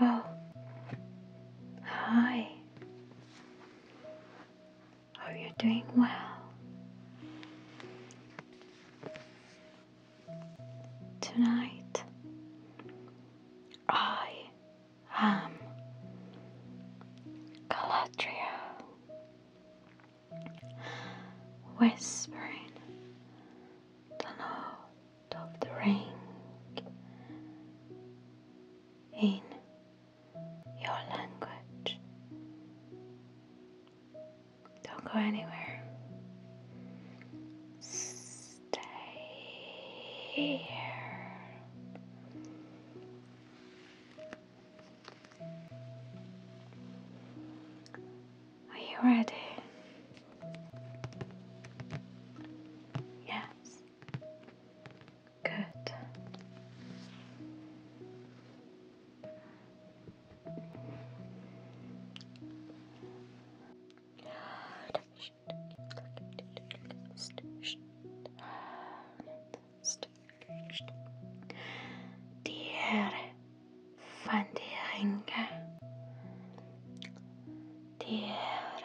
Oh, hi. Hope you doing well. Tonight, I am Galadriel whispering the note of the ring in your language. Don't go anywhere. Stay here. Are you ready? Yes. Good. Diğer funderinge. Diğer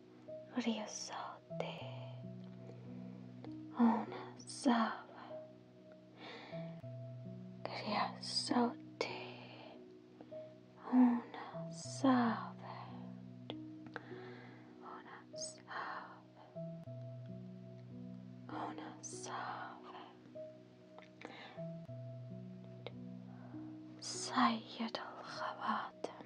Riasote Onazawa Riasote Onazawa Onazawa Onazawa Sayyid al-Khawatim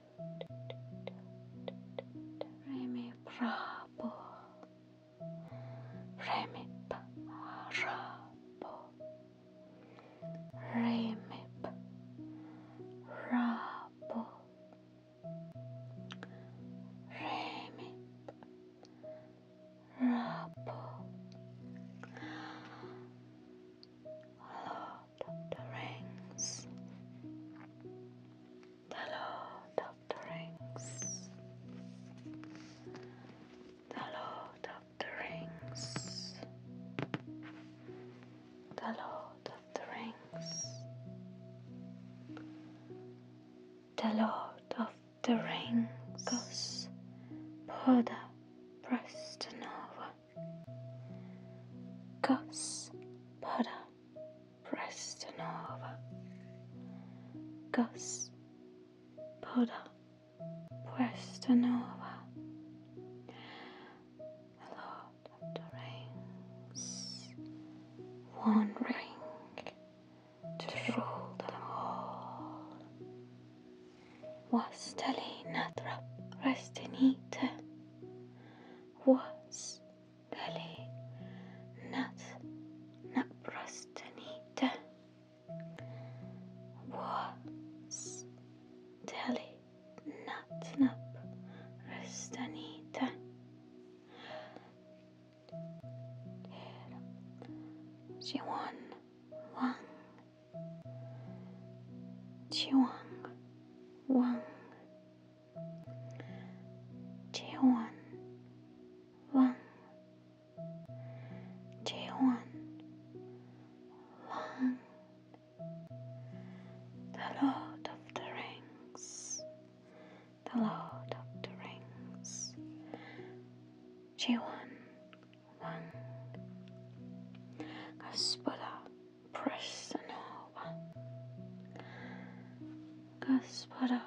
Remi Prabhu Remi Prabhu Remi Prabhu Remi Prabhu Hello Lord of the Rings. The Lord of the Rings. The Lord of the Rings. The Lord of the Rings. The Lord of the Rings goes Brother Prestonova. Gospoda Prestonova. Gospoda Prestonova. Lord of the Rings. One ring to rule them all. واستلي نذرة رستنيته واستلي نذ نبرستنيته واستلي نذ نبرستنيته She won one Chiwang, Wang, Chiwan, Wang, Chiwan, Wang, the Lord of the Rings, the Lord of the Rings, Chiwan, one. Господа, преснова. Господа,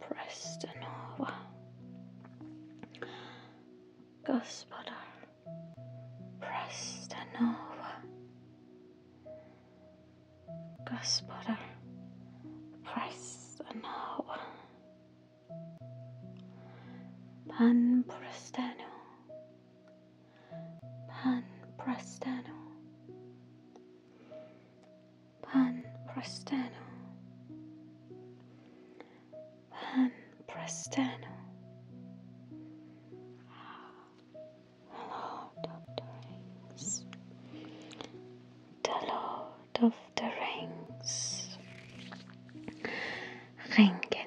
преснова. Господа, преснова. Господа, преснова. Pan Prestano. Pan Prestano. Pan Prestano. Pan Prestano. Hello, Doctor Rings. The Lord of the Rings. Ringen.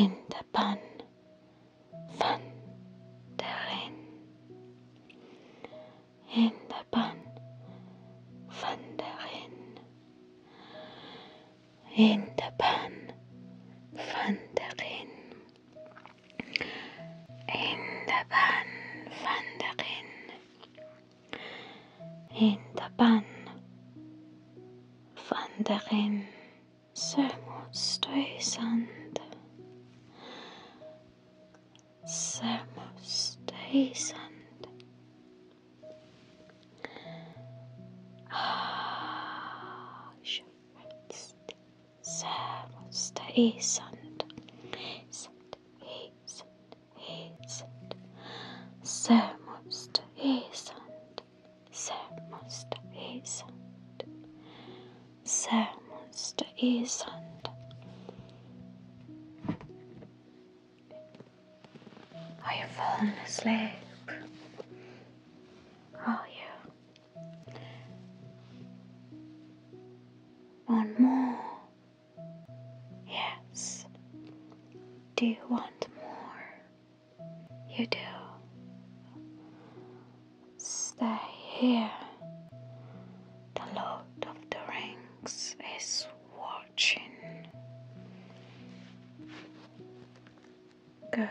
in de pan van de ren. In de pan van de ren. In de pan van de ren. عند بن فندق عند بن فندق سرمستيسند سرمستيسند آه شو Sämsta isand. Isand, isand, isand. Sämsta isand. Sämsta isand. Sämsta isand. Are you falling asleep? Are you? One more. Yes. Do you want more? You do. Stay here. The Lord of the Rings is watching. Good.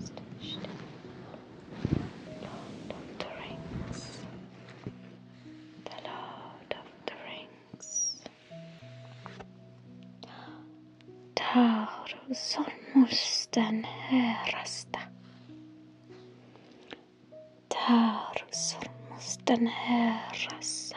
Station. Lord of the Rings. The Lord of the Rings. Tarusormusten herästä. Tarusormusten herässä.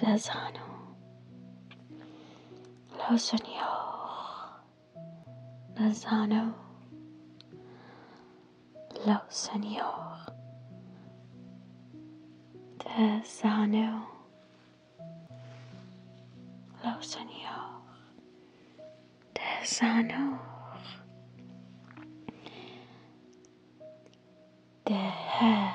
del lo Señor, del sano, lo Señor, del lo Señor, del sano. Terre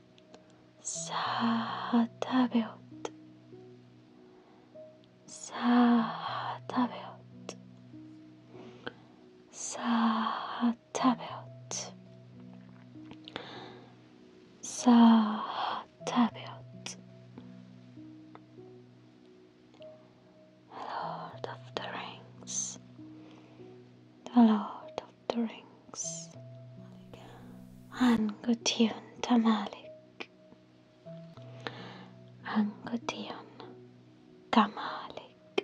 さあ食べよってさあ食べよってさあ食べよってさあ食べよって Lord of the Rings the Lord drinks. Angutiun tamalik. Angutiun kamalik.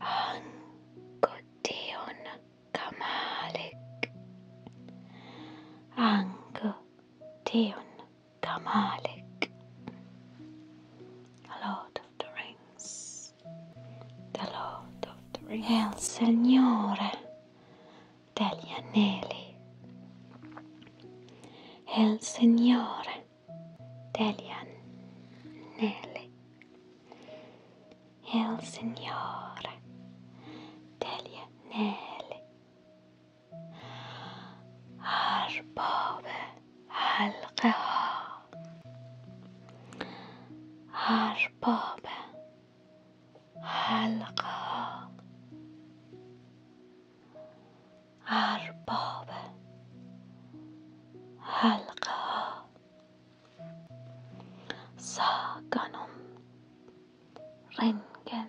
Angutiun kamalik. Angutiun kamalik. A lot of drinks. The Lord of the Rings. È il Signore degli Anelli. El Señor Signore degli Anelli. È il Signore عالقاع عربابة عالقاع عربابة عالقاع ساقنم رنجن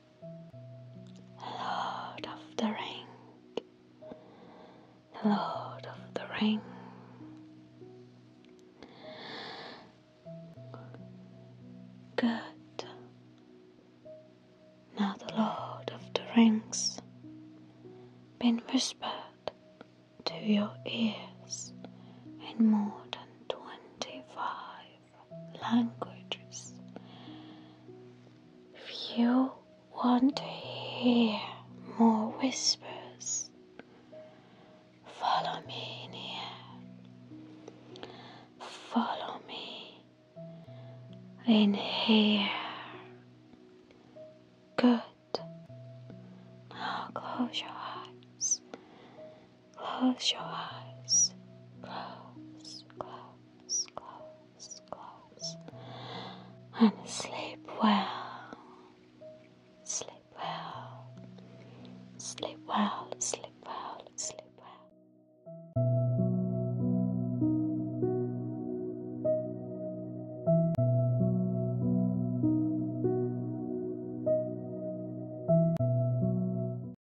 Lord of the Ring, Lord of the Ring. Good. Now the Lord of the Rings been whispered to your ears in more than twenty five languages if you want to hear more whispers follow me in here follow me in here good now close your eyes Close your eyes. Close, close, close, close. And sleep well. Sleep well. Sleep well, sleep well, sleep well.